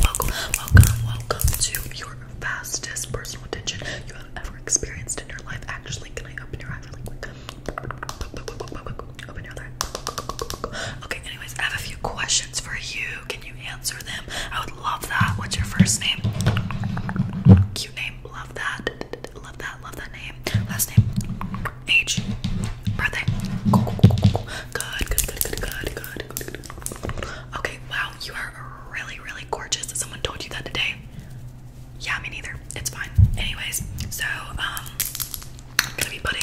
Welcome, welcome, welcome to your fastest personal attention you have ever experienced in your life. Actually, can I open your eye really quick? Okay, anyways, I have a few questions for you. Can you answer them? I would love that. What's your first name? Cute name. Love that. Love that. Love that name. Last name. Age. Birthday. Okay, wow, you are really, really gorgeous. Someone told you that today. Yeah, me neither. It's fine. Anyways, so I'm gonna be putting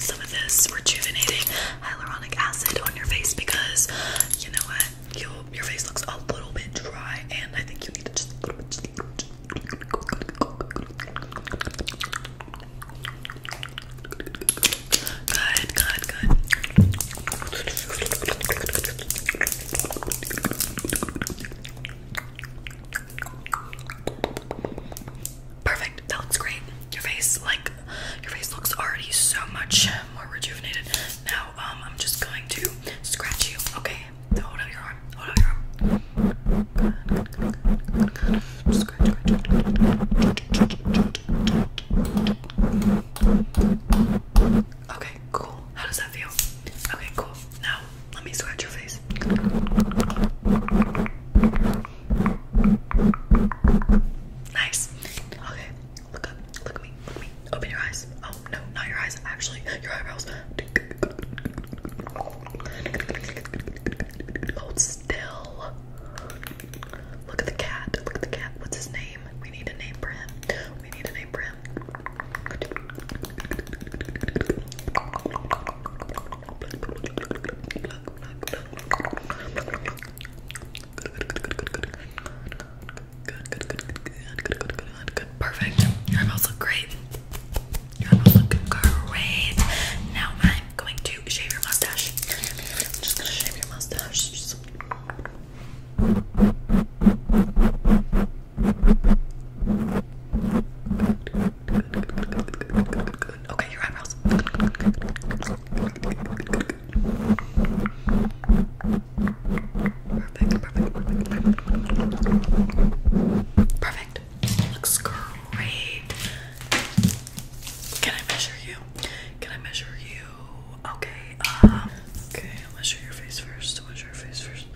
some of this rejuvenating hyaluronic acid on your face because you know what? your face looks a little bit dry and I think you need to just just a little bit Good, good, good. Perfect. That looks great. Your face, like, your face looks already so much more rejuvenated. Now, um, I'm just going to scratch you, okay? Hold out your arm. Hold out your arm. Okay, cool. How does that feel? Okay, cool. Now, let me scratch your face. Nice. Okay, look up. Look at me. Look at me. Open your eyes. Oh, no, not your eyes. Actually, your eyebrows. Hold oh, still. Look at the cat. Look at the cat. What's his name? We need a name for him. We need a name for him. perfect. Your smells look great. You're great. Now I'm going to shave your mustache. just gonna shave your mustache. Okay, your eyebrows. perfect. Perfect. Looks great. Can I measure you? Can I measure you? Okay, um, okay, I'll measure your face first. I'll measure your face first.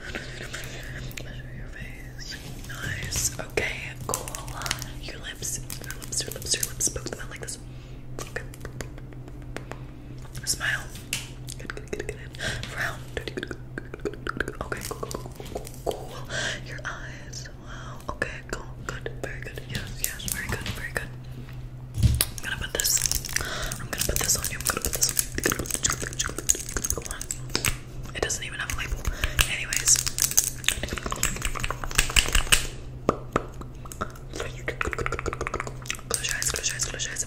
Measure your face. Nice. Okay, cool. Your lips, your lips, your lips, your lips. Poke them out like this. Okay. Smile. Good, good, good, good. Frown. Okay, cool, cool, cool, cool, cool. Cool. Your eyes. Wow. Okay, cool. Good. Very good. Yes, yes. Very good. Very good. I'm gonna put this. I'm gonna put this on you. I'm gonna put this on you. It doesn't even have a label. Anyways. Close your eyes, close your eyes, close your eyes.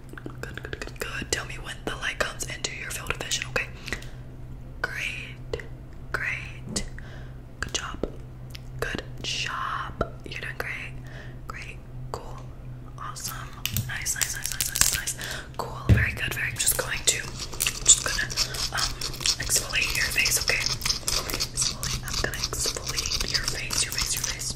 Good, good, good, good. Tell me when the light comes into your field of vision, okay? Great, great. Good job. Good job. You're doing great. Great. Cool. Awesome. Nice, nice, nice, nice, nice, nice. Cool. Very good. Very. I'm just going to, I'm just gonna um exfoliate your face, okay? Exfoliate. I'm gonna exfoliate your face, your face, your face.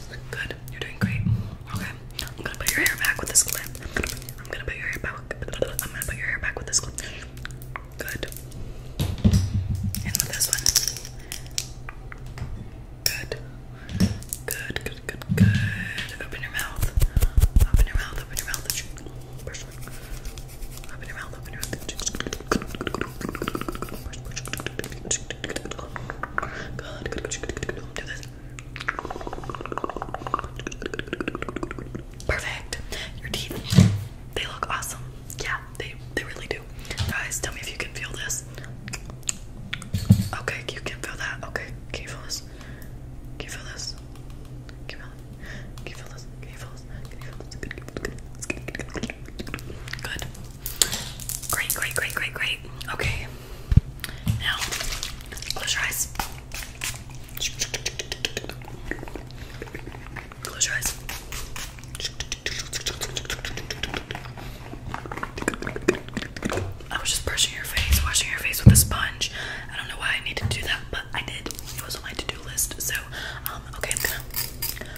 Good. You're doing great. Okay. I'm gonna put your hair back with this clip. I'm gonna put your hair back. I'm gonna put your hair back with this clip. Good. And with this one. Good. Good. Good. Good. Good. Open your mouth. Open your mouth. Open your mouth. Open your Open your mouth. Open your mouth. Good, good, good, good. Do this. Perfect. Your teeth, they look awesome. Yeah, they they really do. Guys, tell me if you can feel this. Okay, you can feel that. Okay, can you feel this? Can you feel this? Can you feel this? Can you feel this? Can you feel this? Can you feel this? Good. Great, great, great, great, great. Okay. Now, close your eyes. Close your eyes. I was just brushing your face, washing your face with a sponge. I don't know why I needed to do that, but I did. It was on my to-do list. So, um, okay, I'm gonna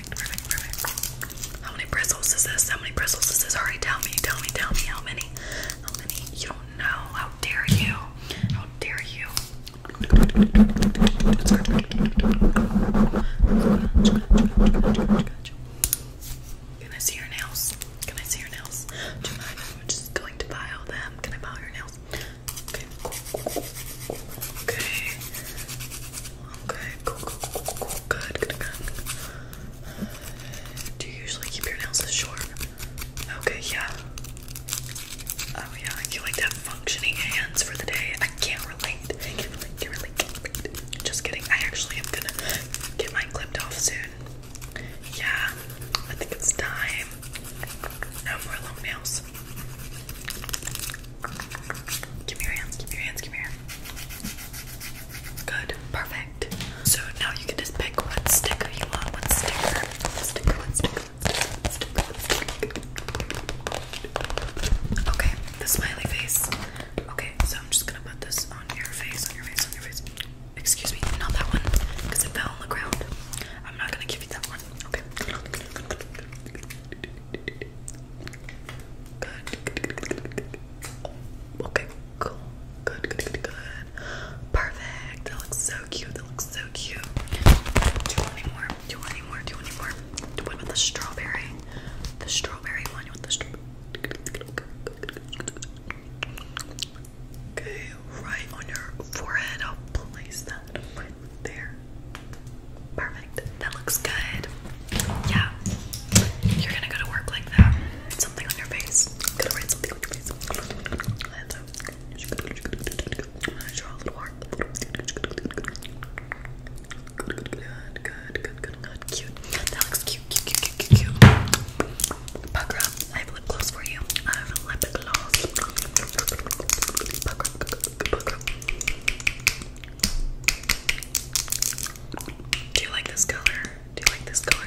How many bristles is this? How many bristles is this? Alright, tell me, tell me, tell me how many. How many? You don't know. How dare you? How dare you? Can I see your nails? Can I see your nails? Do you I'm just going to pile them? Can I pile your nails? Okay. Okay, Cool, cool, cool, cool, cool. Good, good, good. Do you usually keep your nails this short? Okay, yeah. Oh yeah, you like to have functioning hands for the day. I can't relate. I can't relate, can't relate, can't relate. Just kidding. I actually am gonna get mine clipped off soon. Yeah, I think it's time. No more long nails. Give me your hands, give me your hands, give me your hands. Good, perfect. So now you can just pick what sticker you want. What sticker? What sticker, what sticker, what sticker, what sticker. Okay, the smiley face. Okay, so I'm just gonna put this on your face, on your face, on your face. Excuse me, not that one, because it fell on the ground. I'm not gonna give you that one. Okay. Good. Okay, cool. Good, good, good, Perfect. That looks so cute. That looks so cute. Do any more? Do any more? Do any more? what about the strawberry? The strawberry one. You want the strawberry? Okay, right on your forehead. I'll place that. There. Perfect. That looks good. Yeah. You're gonna go to work like that. Something on your face. gonna write something on your face. And so, draw a little more. Good, good, good, good, good, Cute. That looks cute, cute, cute, cute, cute, cute. Pucker up. I have lip gloss for you. I have lip gloss. Do you like this color? Do you like this color?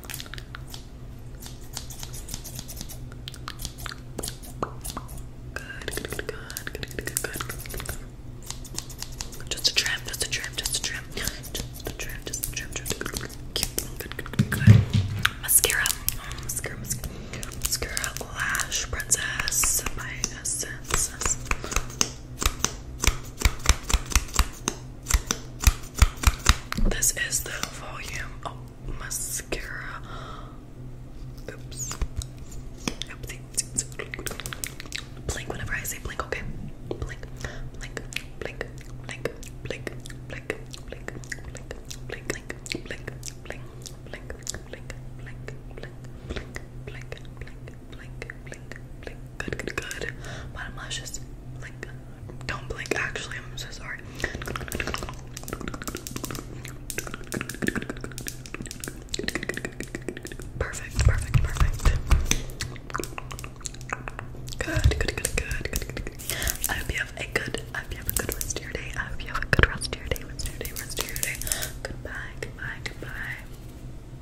Good, good, good, good, good, good, good. Just a trim, just a trim, just a trim. Just a trim, just a trim, just a trim. Cute. Good, good, good, good. Mascara. Oh, mascara, mascara. Mascara Lash Princess by Essence. This is the volume of mascara. Oops. Blink whenever I say blink, okay? blink, blink, blink, blink, blink, blink, blink, blink, blink, blink, blink, blink, blink, blink, blink, blink, blink, blink blink, blink, blink. Good, good, good. Bottom lash, just blink. Don't blink, actually. I'm so sorry. Perfect, perfect, perfect. Good, good, good, good, good, good. I hope you have a good, I hope you have a good rest of your day. I hope you have a good rest of your day, rest of your day, rest of your day. Goodbye, goodbye, goodbye.